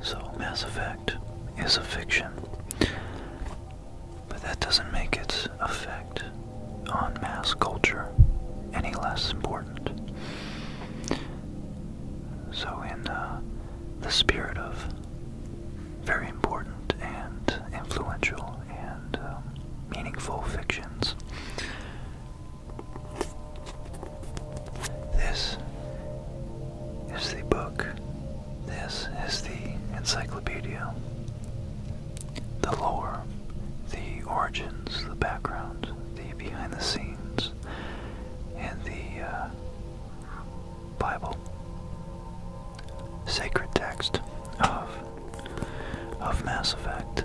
So, Mass Effect is a fiction. But that doesn't make its effect on mass culture any less important. So, in uh, the spirit of very important and influential and um, meaningful fictions, this is the book. This is the encyclopedia. The lore, the origins, the background, the behind the scenes, and the uh, Bible. Sacred text of of Mass Effect.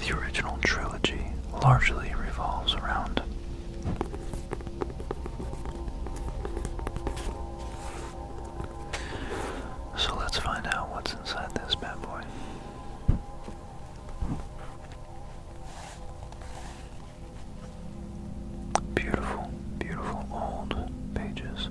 The original trilogy largely revolves around so let's find out what's inside this bad boy. Beautiful, beautiful old pages.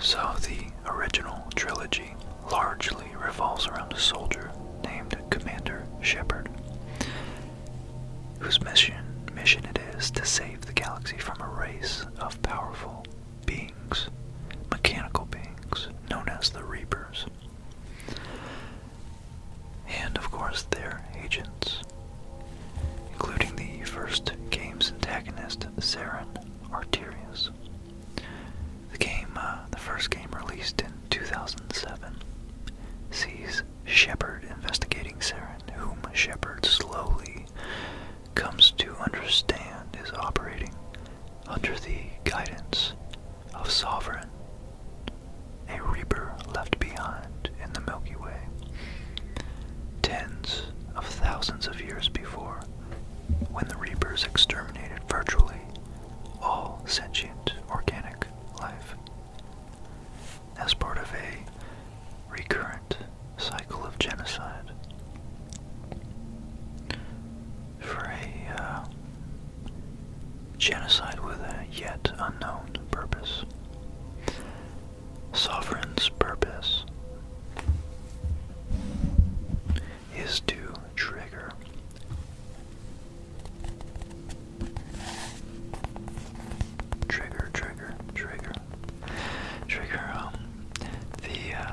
So, the original trilogy largely revolves around a soldier named Commander Shepard, whose mission mission it is to save the galaxy from a race of powerful beings, mechanical beings known as the Reapers. And of course, their agents, including the first game's antagonist, Saren Arterius. The game, uh, the first game released in 2007, sees Shepard investigating Saren, whom Shepard slowly comes to understand is operating under the guidance of Sovereign, a reaper left behind in the Milky Way, tens of thousands of years before, when the reapers exterminated virtually all sentient organic life. As part of a recurrent cycle of genocide for a uh, genocide with a yet unknown purpose. Sovereign's purpose is to trigger trigger trigger trigger trigger um the uh,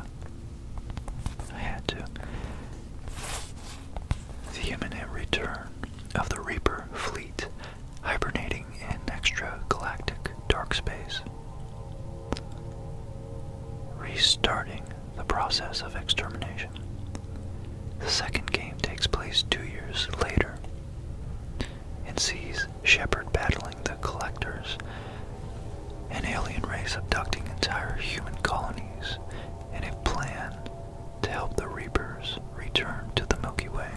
I had to the imminent return of the Reaper fleet hibernating in extragalactic dark space. Restarting the process of extermination. The second game takes place two years later and sees Shepard battling the Collectors, an alien race abducting entire human colonies and a plan to help the Reapers return to the Milky Way.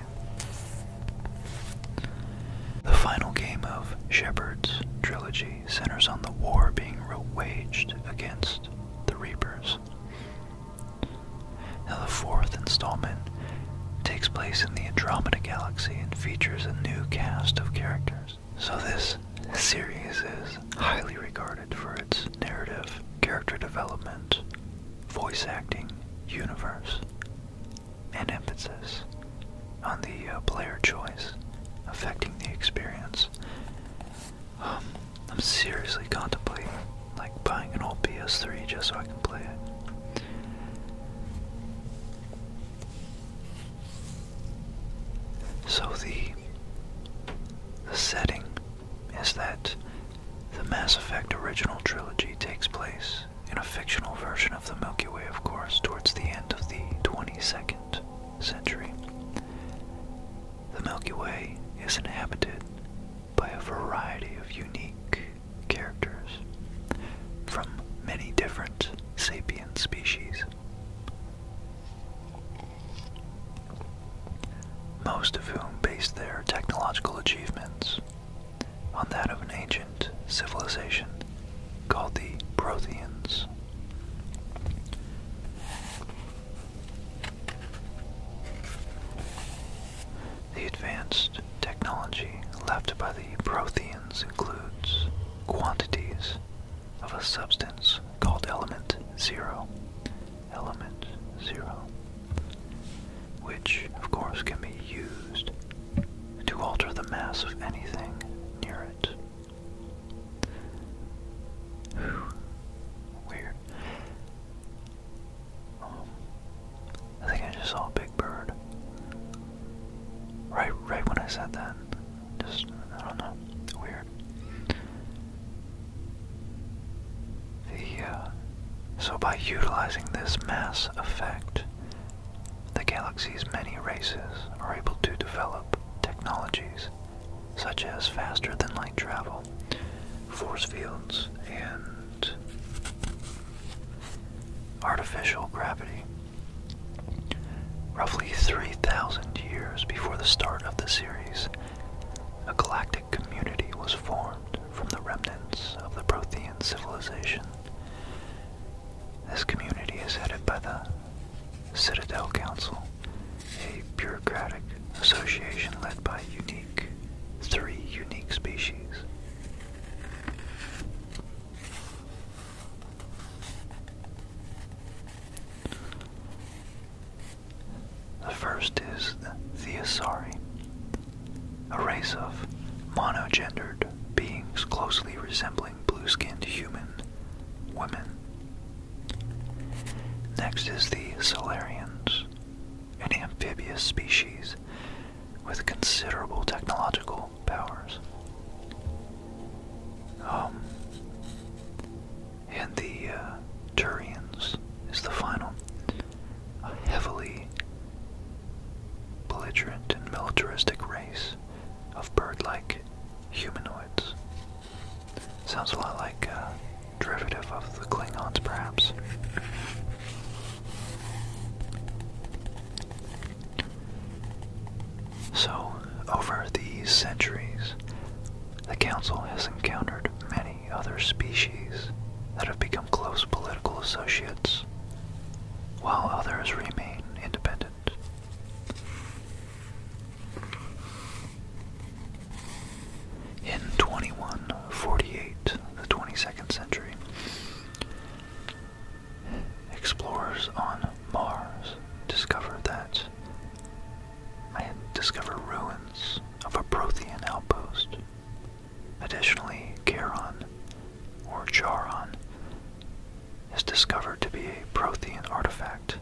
The final game of Shepard's trilogy centers on the war being waged against the Reapers. Now, the fourth installment takes place in the Andromeda Galaxy and features a new cast of characters. So, this series is highly regarded for its narrative, character development, voice acting, universe, and emphasis on the uh, player choice affecting the experience. Um, I'm seriously contemplating like buying an old PS3 just so I can play it. So the the setting is that the Mass Effect original trilogy takes place in a fictional version of the Milky Way, of course, towards the end of the 22nd century. The Milky Way is inhabited by a variety of unique characters from many different sapient species most of whom based their technological achievements on that of an ancient civilization called the Protheans. The advanced technology left by the Protheans includes quantities of a substance called element zero element zero, which of course can be used to alter the mass of anything near it. Weird. Um, I think I just saw big bird. Right, right when I said that, just I don't know, weird. Uh, so by utilizing this mass effect, the galaxy's many races are able to develop technologies such as faster than light travel, force fields, and artificial gravity. Roughly 3,000 years before the start of the series, a galactic community was formed from the remnants of the Prothean civilization. This community is headed by the Citadel Council, a bureaucratic association led by unique three unique species. The first is the Theosari, a race of monogendered beings closely resembling blue-skinned human women. Next is the Solarians, an amphibious species with considerable technological powers. Um, and the uh, Turians is the final. heavily belligerent and militaristic race of bird-like humanoids. Sounds a lot like a uh, derivative of the Klingons, perhaps. So, over these centuries, the Council has encountered many other species that have become close political associates, while others remain independent. In 2148, the 22nd century, explorers on Mars discovered that I had discovered ruins of a Prothean outpost. Additionally, Charon, or Charon, is discovered to be a Prothean artifact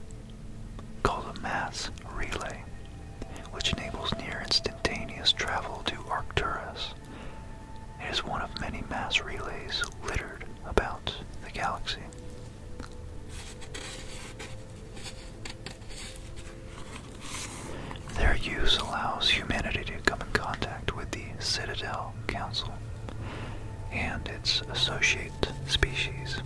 called a mass relay, which enables near instantaneous travel to Arcturus. It is one of many mass relays littered about the galaxy. Their use allows humanity to come in contact with the Citadel Council and its associate species.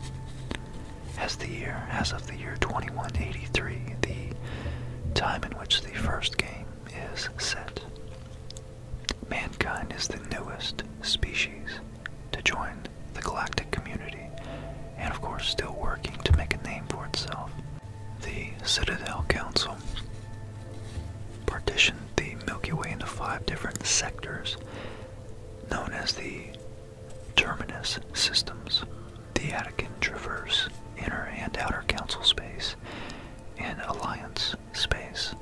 As the year, as of the year 2183, the time in which the first game is set, mankind is the newest species to join the galactic community and, of course, still working to make a name for itself. The Citadel Council partitioned the Milky Way into five different sectors known as the Terminus systems, the Attican Traverse, Inner and Outer Council Space, and Alliance Space.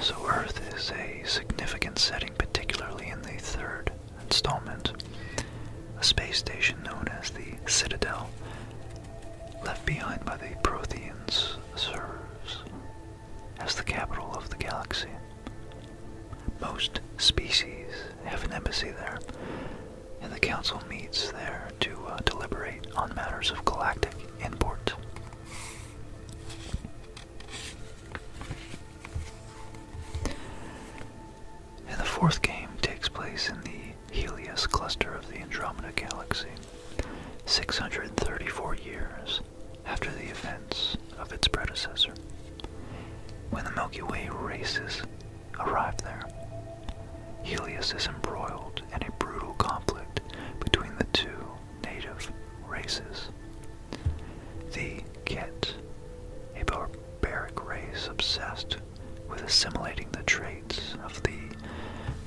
So, Earth is a significant setting, particularly in the third installment. A space station known as the Citadel, left behind by the Protheans, serves as the capital of the galaxy. Most species have an embassy there, and the Council meets there to uh, deliberate on matters of galactic and the fourth game takes place in the Helios cluster of the Andromeda Galaxy, 634 years after the events of its predecessor, when the Milky Way races arrived there. Helios is embroiled in a brutal conflict between the two native races. The Ket, a barbaric race obsessed with assimilating the traits of the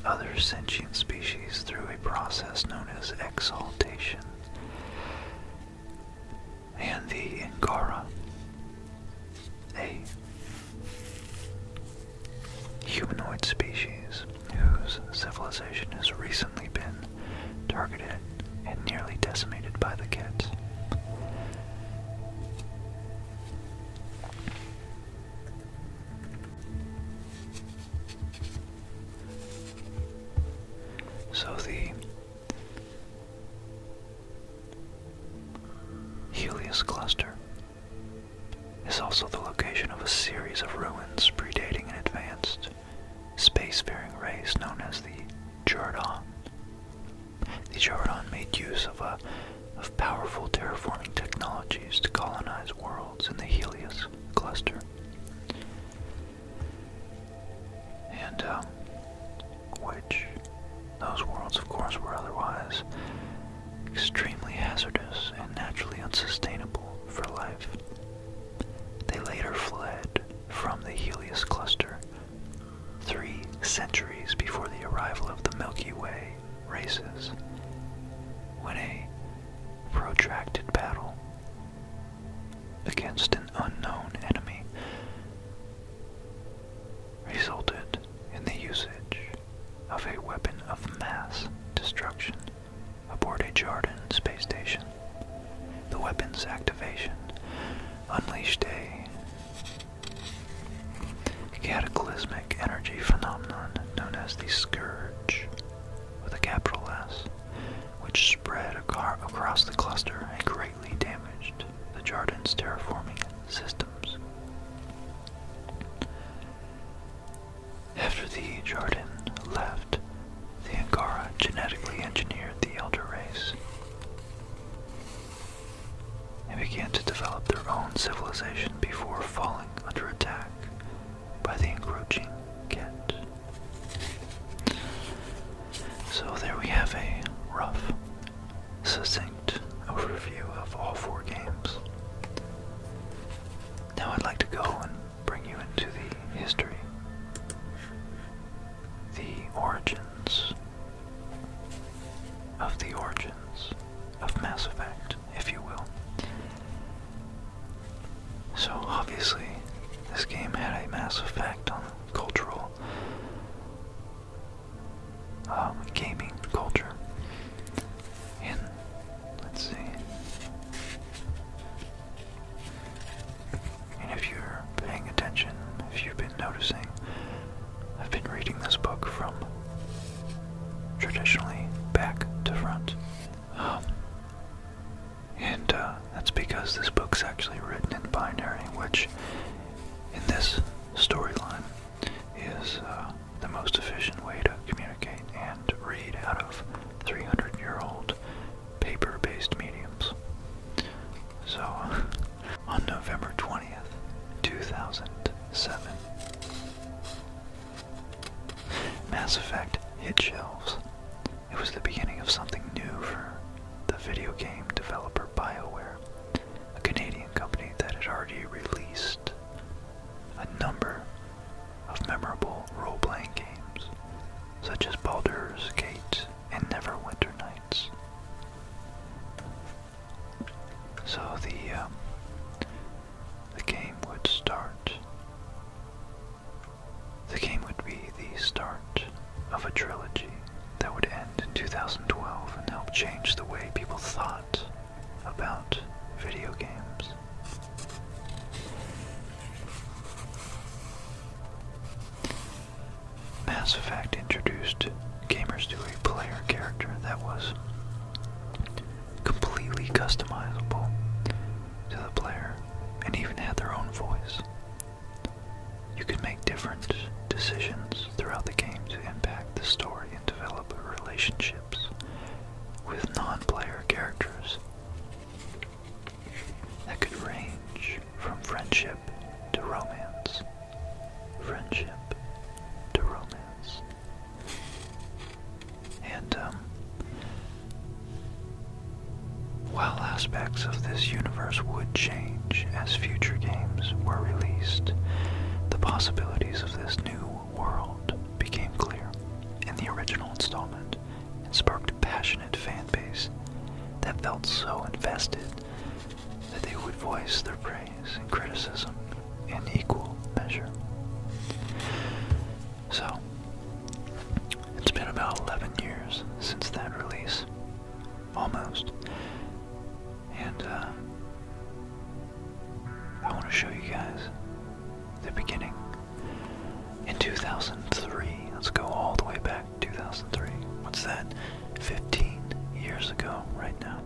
other sentient species through a process known as exaltation, and the Angara, a humanoid species whose civilization has recently been targeted and nearly decimated by the kits. So the Helios cluster is also the location of a series of ruins predating an advanced spacefaring race known as the Jordan. The Jordan made use of, a, of powerful terraforming technologies to colonize worlds in the Helios cluster. And, um, which, those worlds, of course, were otherwise extremely hazardous and naturally unsustainable for life. They later fled from the Helios cluster three centuries before the arrival of the Milky Way races, when a protracted battle against an unknown enemy resulted in the usage of a weapon of mass destruction aboard a Jarden space station. The weapon's activation unleashed a cataclysmic energy phenomenon known as the Scourge, with a capital S, which spread across the cluster and greatly damaged the Jarden's terraforming systems. After the Jardin left, the Angara genetically engineered the Elder race and began to develop their own civilization before falling under attack by the encroaching Ket. So there we have a rough, succinct overview of all four games. Now I'd like to go and bring you into the history, the origins of the origins of Mass Effect, if you will. So obviously, this game had a mass effect on cultural um, gaming culture in. Let's see. And if you're paying attention, if you've been noticing, I've been reading this book from traditionally back to front. Um, and uh, that's because this book's actually written in binary, which in this storyline is uh, the most efficient way to communicate and read out of 300 year old paper based mediums. So, on November 20th, 2007, Mass Effect hit shelves. It was the beginning of something new for the video game developer BioWare, a Canadian company that had already released a number of memorable role-playing games, such as Baldur's Gate and Neverwinter Nights. So the um, the game would start. The game would be the start of a trilogy that would end in 2012 and help change the way people thought about video games. Mass Effect introduced gamers to a player character that was completely customizable to the player and even had their own voice. You could make different decisions throughout the game to impact the story and develop relationships with non-player characters that could range from friendship to romance. Friendship to romance. And um, while aspects of this universe would change as future games were released, the possibilities of this new world became clear in the original installment and sparked a passionate fan base that felt so invested that they would voice their praise and criticism in equal measure. So, it's been about 11 years since that release, almost, and uh, I want to show you guys the beginning. In 2003, let's go all the way back to 2003. What's that? 15 years ago, right now.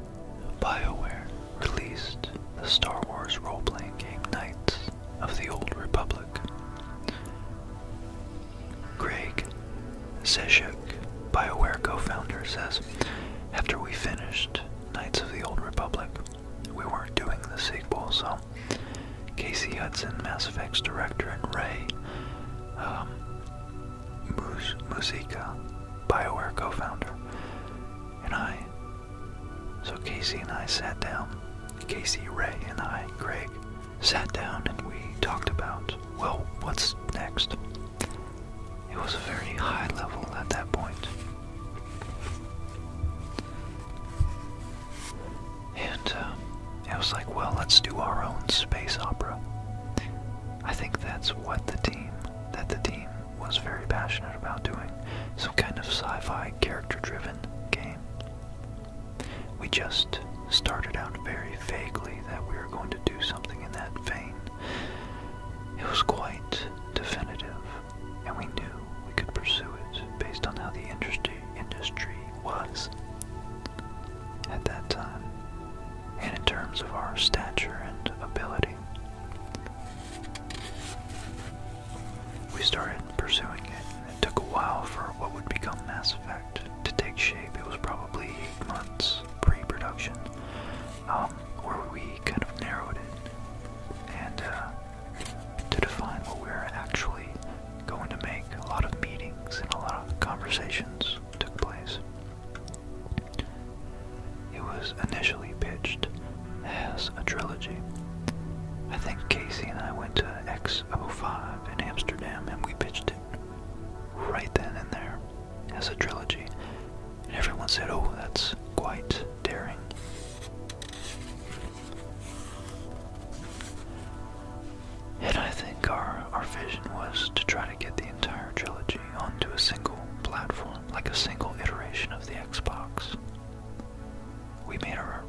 BioWare released the Star Wars role playing game Knights of the Old Republic. Greg Zeshuk, BioWare co founder, says After we finished Knights of the Old Republic, we weren't doing the sequel, so Casey Hudson, Mass Effect's director, and Ray um, Musica, BioWare co-founder, and I. So Casey and I sat down. Casey, Ray, and I, Greg, sat down and we talked about, well, what's next? It was a very high level at that point. And uh, was like, well, let's do our own space opera. I think that's what the team, that the team was very passionate about doing. Some kind of sci-fi character-driven game. We just started out very vaguely that we were going to do something in that vein. It was quite definitive and we knew we could pursue it based on how the industry industry was at that time, and in terms of our stature and ability. We started pursuing it. It took a while for what would become Mass Effect to take shape. It was probably eight months pre-production, um, where we kind of narrowed it, and uh, to define what we're actually going to make. A lot of meetings and a lot of conversations took place. It was initially pitched as a trilogy. I think Casey and I went to X05 in Amsterdam and we pitched it right then and there as a trilogy and everyone said, oh, that's quite daring. And I think our, our vision was to try to get the entire trilogy onto a single platform, like a single iteration of the Xbox. We made our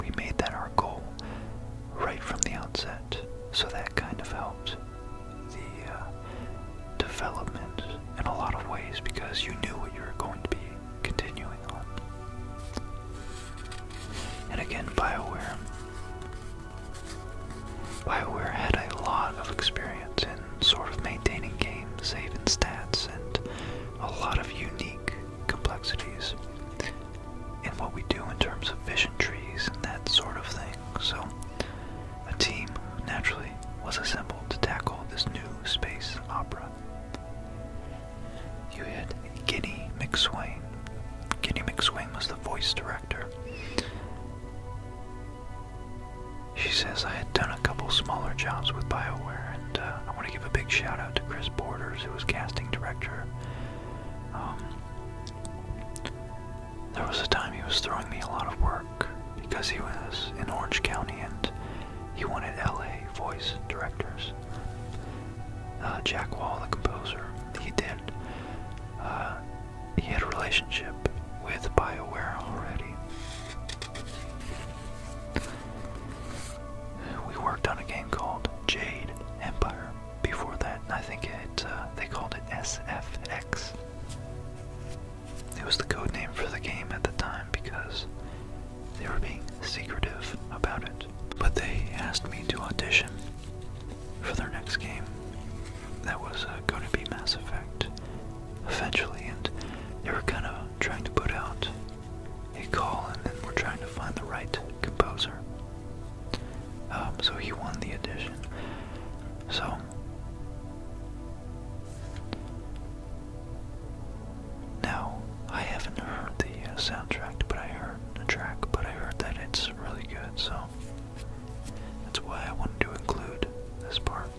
we made that our goal right from the outset, so that kind of helped the uh, development in a lot of ways because you knew what you were going to be continuing on. And again, BioWare. BioWare had a lot of experience in sort of maintaining game saving stats and a lot of unique complexities in what we do in terms of vision trees and that sort of thing. So, a team naturally was assembled to tackle this new space opera. You had Guinea McSwain. Guinea McSwain was the voice director. She says, I had done a couple smaller jobs with BioWare, and uh, I want to give a big shout out to Chris Borders, who was casting director. Um, there was a time he was throwing me a lot of work because he was in Orange County and he wanted LA voice directors. Uh, Jack Wall, the composer, he did. Uh, he had a relationship with BioWare already. We worked on a game called Jade Empire. Before that, I think it uh, they called it SFX. It was the code name for the game at the time because they were being secretive about it. But they asked me to audition for their next game that was uh, going to be Mass Effect eventually, and they were kind of trying to put out a call and then we're trying to find the right composer. Um, so he won the audition. So now, I haven't heard the uh, soundtrack, but I heard the track, but I heard that it's really good, so that's why I wanted to include this part.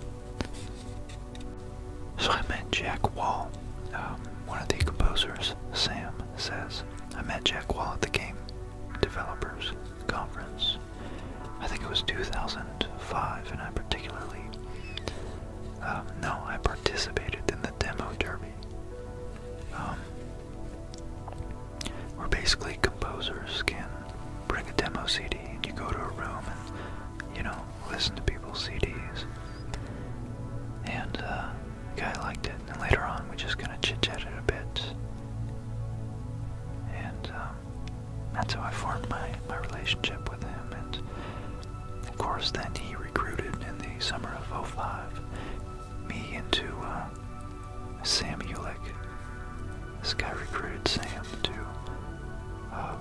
So I met Jack Wall, um, one of the composers. Sam says, I met Jack Wall at the game developers conference. I think it was 2005, and I particularly um, no, I participated in the demo derby. Um, where basically composers can bring a demo CD and you go to a room and, you know, listen to people's CDs. And, uh, the guy liked it. And later on, we're just gonna chit chat it a bit. And, um, that's how I formed my, my relationship with him. And of course, then he recruited in the summer of 05 me into uh, Sam Yulek. This guy recruited Sam to uh,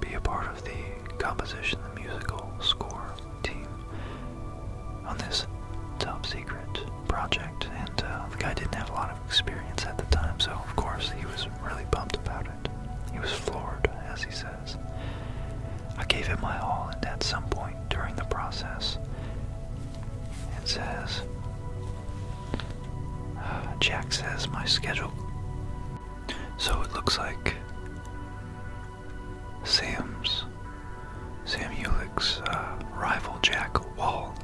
be a part of the composition, the musical score team on this top secret project, and uh, the guy didn't have a lot of experience at the time, so of course he was really pumped about it. He was floored, as he says. I gave him my all, and at some point during the process, it says, Jack says my schedule. So it looks like Sam's, Sam Ulick's uh, rival Jack Wall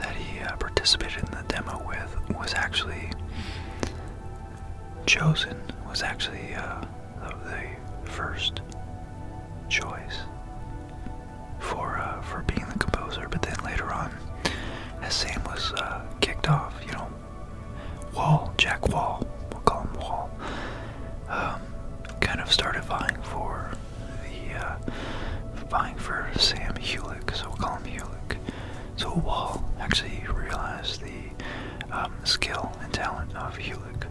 that he uh, participated in the demo with was actually chosen, was actually uh, the first choice for uh, for being the composer. But then later on, as Sam was kicked off, you know, Wall, Jack Wall, we'll call him Wall, um, kind of started vying for the uh, for Sam Hulick, so we'll call him Hulick. So Wall actually realized the um, skill and talent of Hulick,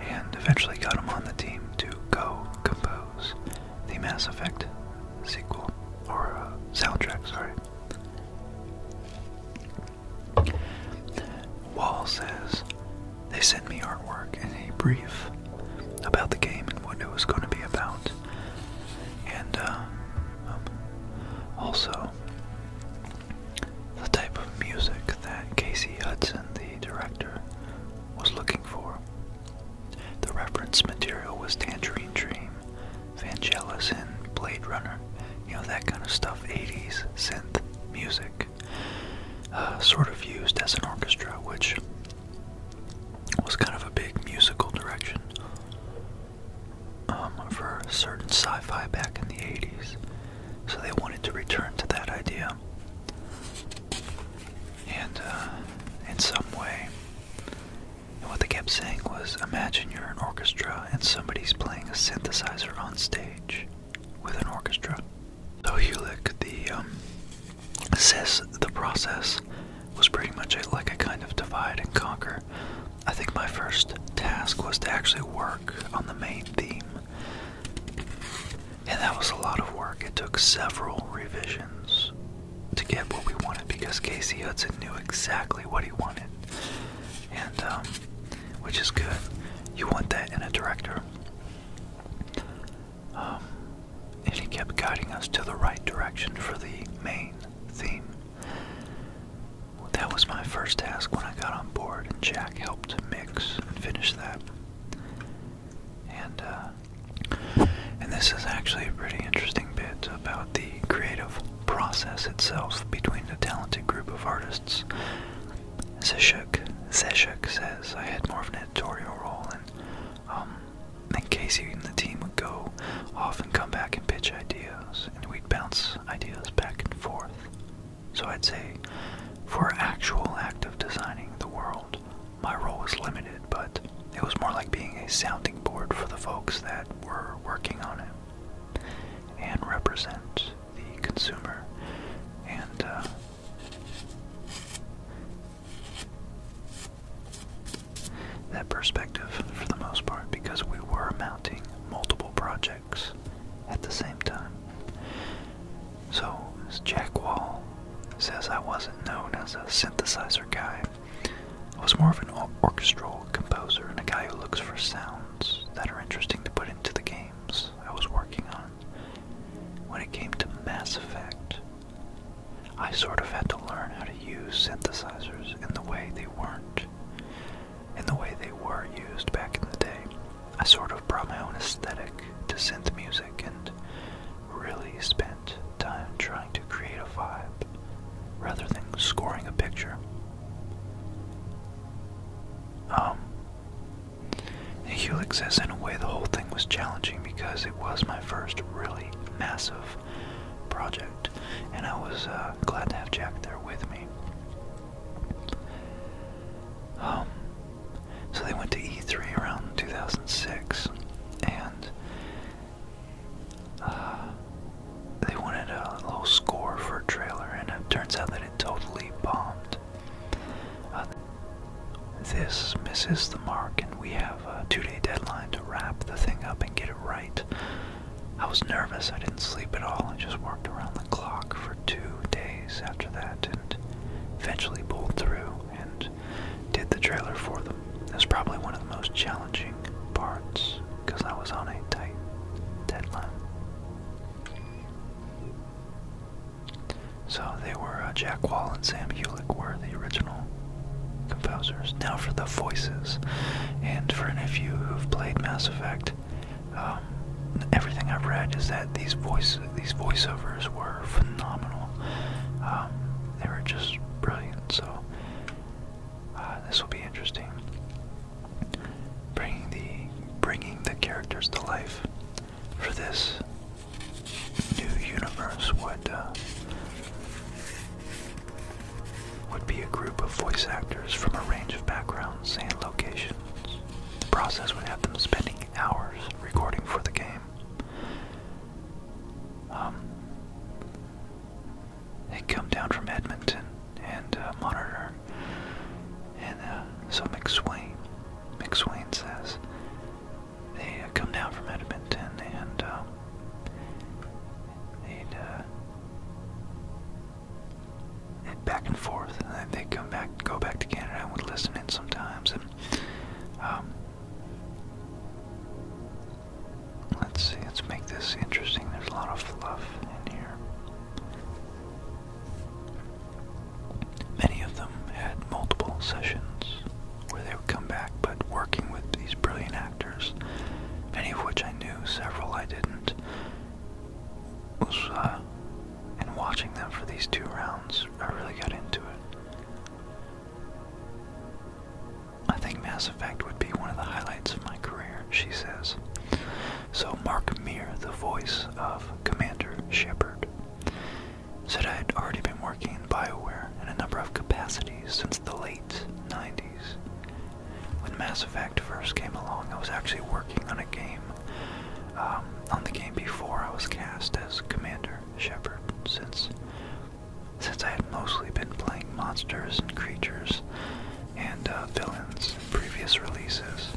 and eventually got him on the team to co-compose the Mass Effect sequel or uh, soundtrack. Sorry. Wall says they sent me artwork and a brief about the game and what it was going to be about. And uh, um, also, the type of music that Casey Hudson, the director, was looking for. The reference material was Tangerine Dream, Vangelis, and Blade Runner. You know, that kind of stuff, 80s synth music. Uh, sort of used as an orchestra, which was kind of a big musical direction um, for certain sci fi back in the 80s. So they wanted to return to that idea. And uh, in some way, what they kept saying was imagine you're an orchestra and somebody's playing a synthesizer on stage with an orchestra. So Hewlett, the um, says the process was pretty much like a kind of divide and conquer. I think my first task was to actually work on the main theme. And that was a lot of work. It took several revisions to get what we wanted because Casey Hudson knew exactly what he wanted. And, um, which is good. You want that in a director. Um, and he kept guiding us to the right direction for the main theme. That was my first task when I got on board, and Jack helped mix and finish that. And uh, and this is actually a pretty interesting bit about the creative process itself between a talented group of artists. Zeshuk, Zeshuk says, I had more of an editorial role on. Um, then Casey and the team would go off and come back and pitch ideas, and we'd bounce ideas back and forth. So I'd say, for actual act of designing the world, my role was limited, but it was more like being a sounding board for the folks that were working on it and represent the consumer and uh, that perspective for the most part because we were mounting multiple projects at the same time. So, Jack Wall says I wasn't known as a synthesizer guy. I was more of an orchestral composer and a guy who looks for sounds that are interesting to put into the games I was working on. When it came to Mass Effect, I sort of had to learn how to use synthesizers in the way they weren't, in the way they were used back in the day. I sort of brought my own aesthetic to synth music and really spent time trying to create a vibe rather than scoring a picture. Um, and Helix says, in a way, the whole thing was challenging because it was my first really massive project, and I was uh, glad to have Jack there with me. Um, so they went to E3 around 2006, and uh, they wanted a little score for a trailer, and it turns out that it totally bombed. Uh, this misses the mark, and we have a two day deadline to wrap the thing up and get it right. I was nervous, I didn't sleep at all, I just worked around the clock for two days after that and eventually pulled through and did the trailer for them. It was probably one of the most challenging parts because I was on a tight deadline. So they were uh, Jack Wall and Sam Hulick were the original composers. Now for the voices, and for any of you who've played Mass Effect, um, everything I've read is that these voice these voiceovers were phenomenal. Um, they were just brilliant. So uh, this will be interesting. Bringing the bringing the characters to life. For this, new universe would uh, would be a group of voice actors from a range of backgrounds and locations. The process would have them spending hours recording for the game. Um, they come down from Edmonton and uh, monitor. And uh, so McSwain, McSwain says, they come down from Edmonton and uh, uh, they'd, back and forth, and they'd come back, go back to Canada, and would listen in sometimes. And um, let's see, let's make this interesting. There's a lot of fluff in here. Many of them had multiple sessions where they would come back, but working with these brilliant actors, many of which I knew, several I didn't, was, uh, and watching them for these two rounds, I really got into it. I think Mass Effect would be one of the highlights of my career, she says. So Mark Meer, the voice of Commander Shepard, said I had already been working in BioWare in a number of capacities since the late 90s. When Mass Effect first came along, I was actually working on a game, um, on the game before I was cast as Commander Shepard, since, since I had mostly been playing monsters and creatures and uh, villains in previous releases.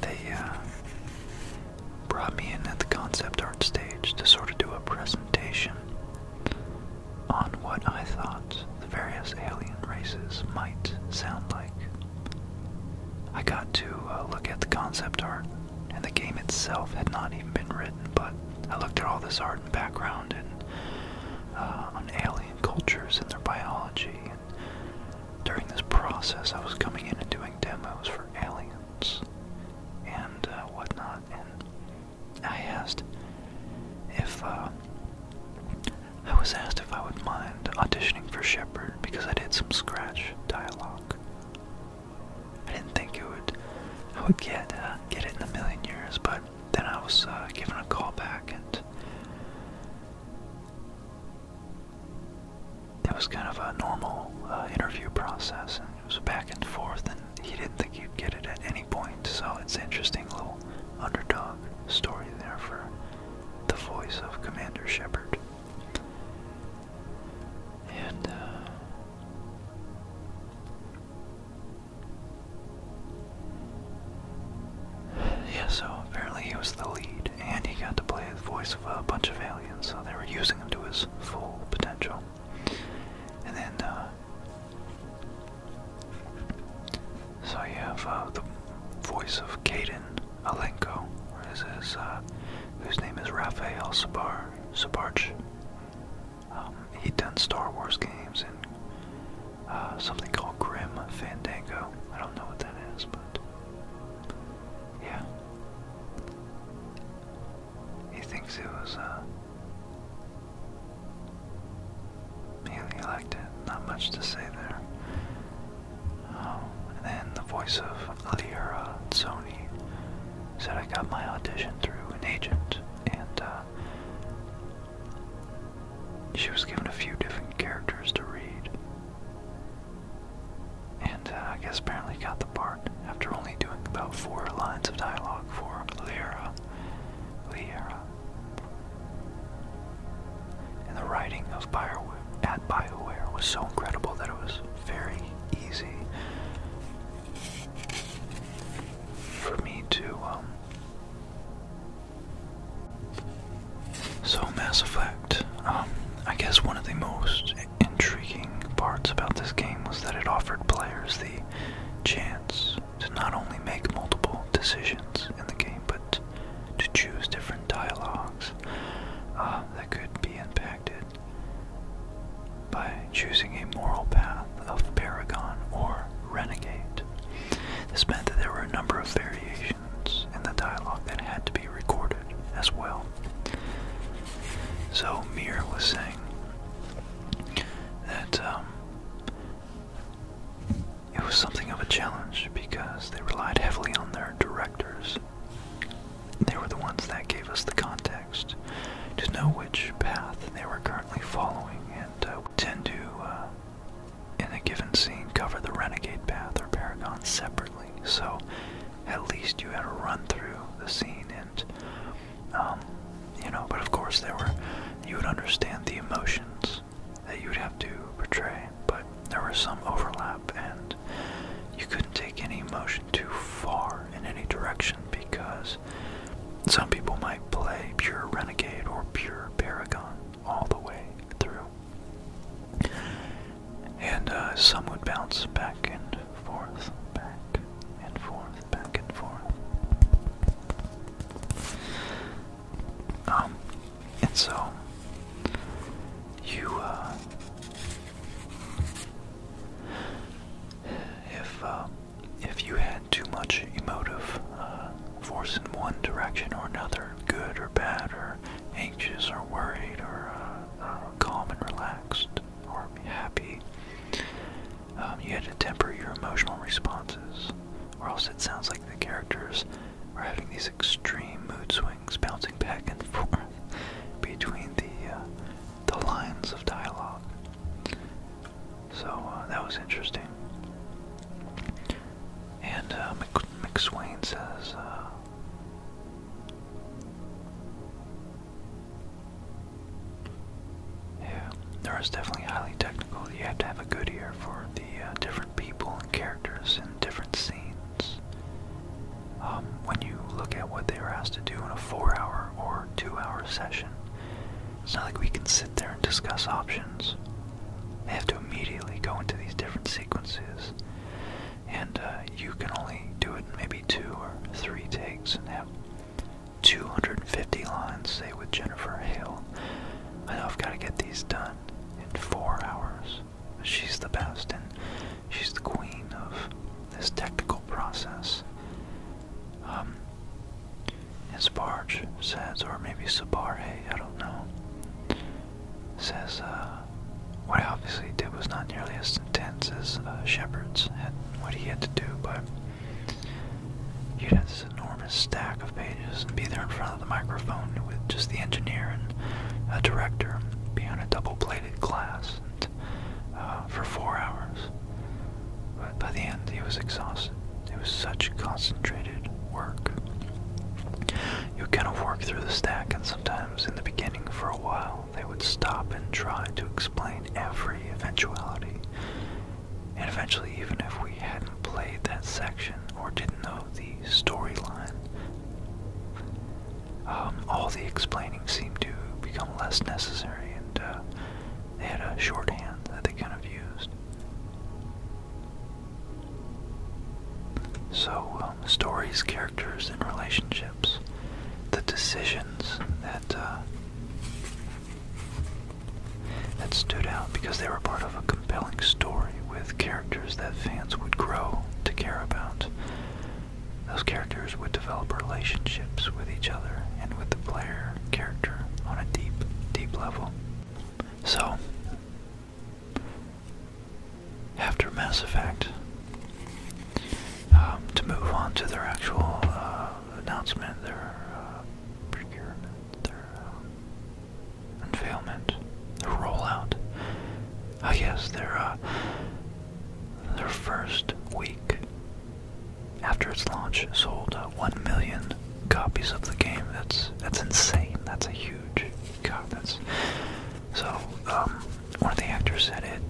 They, uh, brought me in at the concept art stage to sort of do a presentation on what I thought the various alien races might sound like. I got to uh, look at the concept art, and the game itself had not even been written, but I looked at all this art and background and uh, on alien cultures and their biology. And during this process, I was coming in and doing demos for aliens and uh, whatnot. And I asked if uh, I was asked if I would mind auditioning for Shepard because I did some scratch dialogue. I didn't think it would I would get uh, get it in a million years, but then I was given a call back and it was kind of a normal uh, interview process, and it was back and forth, and he didn't think he'd get it at any point. So it's interesting little underdog story there for the voice of Commander Shepard. And uh, yeah, so apparently he was the lead, and he got to play the voice a bunch of aliens, so they were using him to his full potential. And then, uh, so you have uh, the voice of Caden Alenko, his, uh, whose name is Rafael Sabar Sabarch. Um, he done Star Wars games and something called Grim Fandango. I don't know what that is, but yeah. He thinks it was, uh. He liked it. Not much to say there. Um, and then the voice of Lyra uh, Sony said, I got my audition through an agent, and, uh, She was given a few different characters to read. And uh, I guess apparently got the part after only doing about four lines of dialogue for Lyra. Lyra. And the writing of Bioware, at Bioware was so incredible that it was very easy for me to, um. So, Mass Effect, um, I guess one of the most intriguing parts about this game was that it offered players the chance to not only make multiple decisions in the game, but to choose different dialogues uh, that could be impacted by choosing a moral path of paragon or renegade. This meant that there were a number of variations in the dialogue that had to be recorded as well. So Mir was saying that um, it was something of a challenge because they relied heavily on their directors. They were the ones that gave us the context to know which path they were currently following and uh, tend to, uh, in a given scene, cover the renegade path or paragon separately. So at least you had a run through the scene and um, you know but of course there were you would understand the emotions that you would have to portray but there was some overlap and you couldn't take any emotion too far in any direction because some people might play pure renegade or pure paragon all the way through and uh, some would bounce back and forth, back and forth, back and forth. Um, and so you, uh, if uh, if you had too much emotive uh, force in one direction or another, good or bad or anxious or worried or calm and relaxed or happy. Um, you had to temper your emotional responses, or else it sounds like the characters are having these extreme mood swings, bouncing back and forth between the uh, the lines of dialogue. So uh, that was interesting. And uh, McSwain says, uh, yeah, Nora's definitely highly technical. You have to have a good ear for the uh, different people and characters in different scenes. Um, when you look at what they are asked to do in a four hour or two hour session, it's not like we can sit there and discuss options. They have to immediately go into these different sequences and uh, you can only do it in maybe two or three takes and have 250 lines, say with Jennifer Hale. I know I've got to get these done in four hours. She's the best, and she's the queen of this technical process. Um, and says, or maybe Sabarhe, I don't know, says, uh, uh, what he obviously did was not nearly as intense as uh, Shepard's and what he had to do, but you'd have this enormous stack of pages and be there in front of the microphone with just the engineer and a director, be on a double-bladed glass and, uh, for four hours. But by the end, he was exhausted. It was such concentrated work. You kind of work through the stack, and sometimes in the beginning for a while, they would stop and try to explain every eventuality. And eventually, even if we hadn't played that section or didn't know the storyline, um, all the explaining seemed to become less necessary, and uh, they had a shorthand that they kind of used. So, um, stories, characters, and relationships. The decisions that uh, that stood out because they were part of a compelling story with characters that fans would grow to care about. Those characters would develop relationships with each other and with the player character on a deep, deep level. So, after Mass Effect um, to move on to their actual uh, announcement, their uh, procurement, their uh, unveilment, their rollout. I guess their uh, their first week after its launch sold one million copies of the game. That's that's insane. That's a huge God, that's so. Um, one of the actors said it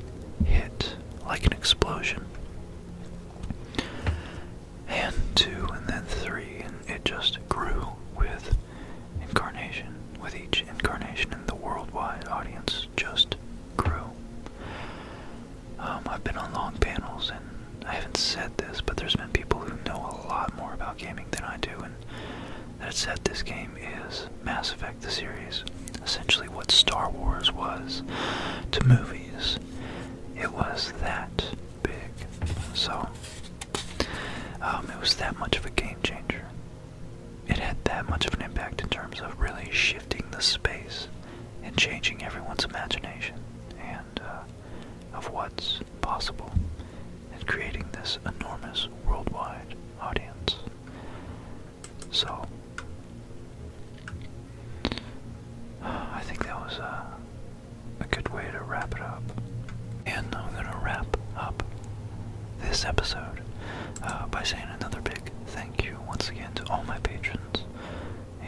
hit like an explosion. And two, and then three, and it just grew with incarnation, with each incarnation, and the worldwide audience just grew. Um, I've been on long panels, and I haven't said this, but there's been people who know a lot more about gaming than I do, and that said this game is Mass Effect the series, essentially what Star Wars was to movies. It was that big. So, um, it was that much of a game changer. It had that much of an impact in terms of really shifting the space and changing everyone's imagination and uh, of what's possible and creating this enormous worldwide audience. So I think that was a, a good way to wrap it up. And I'm going to wrap up this episode uh, by saying another big thank you once again to all my patrons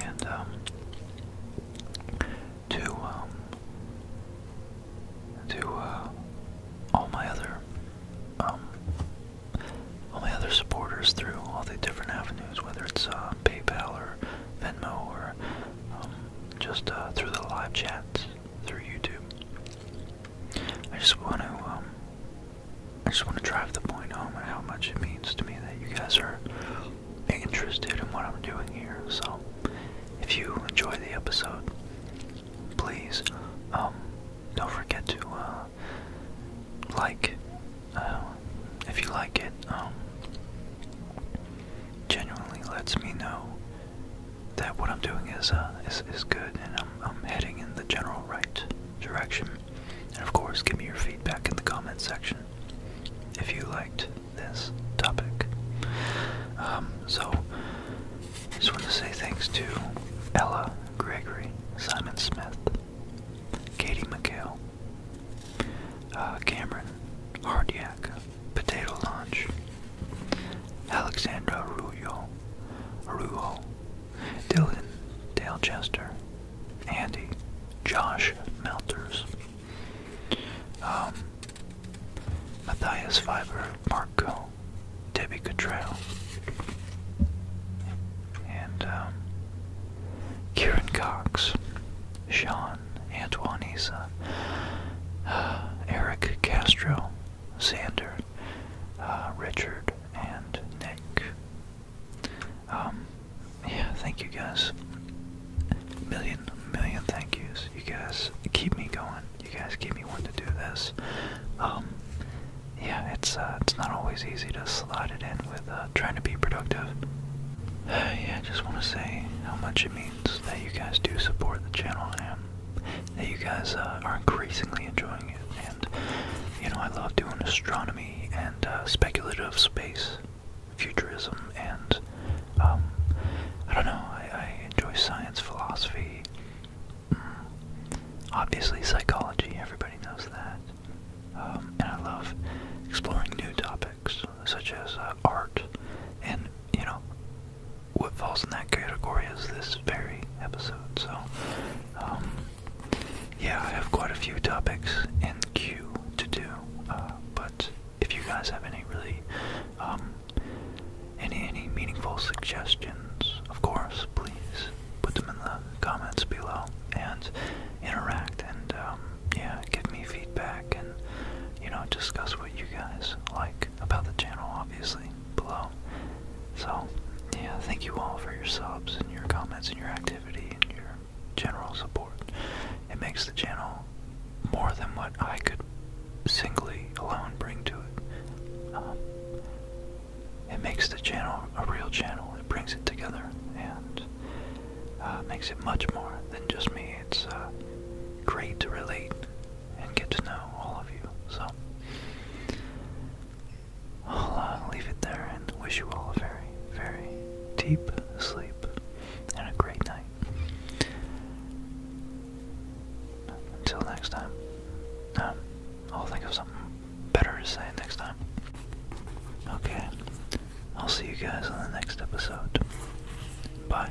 and um, to um, to uh, all my other um, all my other supporters through all the different avenues, whether it's uh, PayPal or Venmo or um, just uh, through the live chats, through YouTube. I just want to, um, I just want to drive the point home and how much it means to me that you guys are interested in what I'm doing here. So, if you enjoy the episode, please um, don't forget to uh, like uh, if you like it um, genuinely lets me know that what I'm doing uh, is is, good and I'm I'm heading in the general right direction and of course give me your feedback in the comment section if you liked this topic um, so just want to say thanks to Ella Gregory, Simon Smith, Katie McHale, uh, Cameron Hardiak, Potato Launch, Alexandra Rujo, Arullo, Dylan Dalechester, Andy, Josh Melters, um, Matthias Fiber, Marco, Debbie Cottrell, and um, Kieran Cox, Sean, Antoine Isa, Eric Castro, Sander, uh, Richard, and Nick. Um, yeah, thank you guys. Million, million thank yous. You guys keep me going you guys gave me one to do this. Um, yeah, it's uh, it's not always easy to slide it in with uh, trying to be productive. yeah, I just want to say how much it means that you guys do support the channel and that you guys uh, are increasingly enjoying it. And you know, I love doing astronomy and speculative space, futurism, and um, I don't know. I enjoy science, philosophy, Obviously, psychology, everybody knows that. Um, and I love exploring new topics, such as uh, art. And, you know, what falls in that category is this very episode. So, um, yeah, I have quite a few topics in queue to do. Uh, but if you guys have any really um, and any meaningful suggestions, of course, please put them in the comments below and interact and, um, yeah, give me feedback and, you know, discuss what you guys like about the channel, obviously, below. So, yeah, thank you all for your subs and your comments and your activity and your general support. It makes the channel more than what I could singly alone bring to it. Um, it makes the channel a real channel. It brings it together and uh, makes it much more than just me. It's uh, great to relate and get to know all of you. So I'll uh, leave it there and wish you all a very, very deep sleep and a great night. Until next time. Um, I'll think of something better to say next time. Okay, I'll see you guys on the next episode. Bye.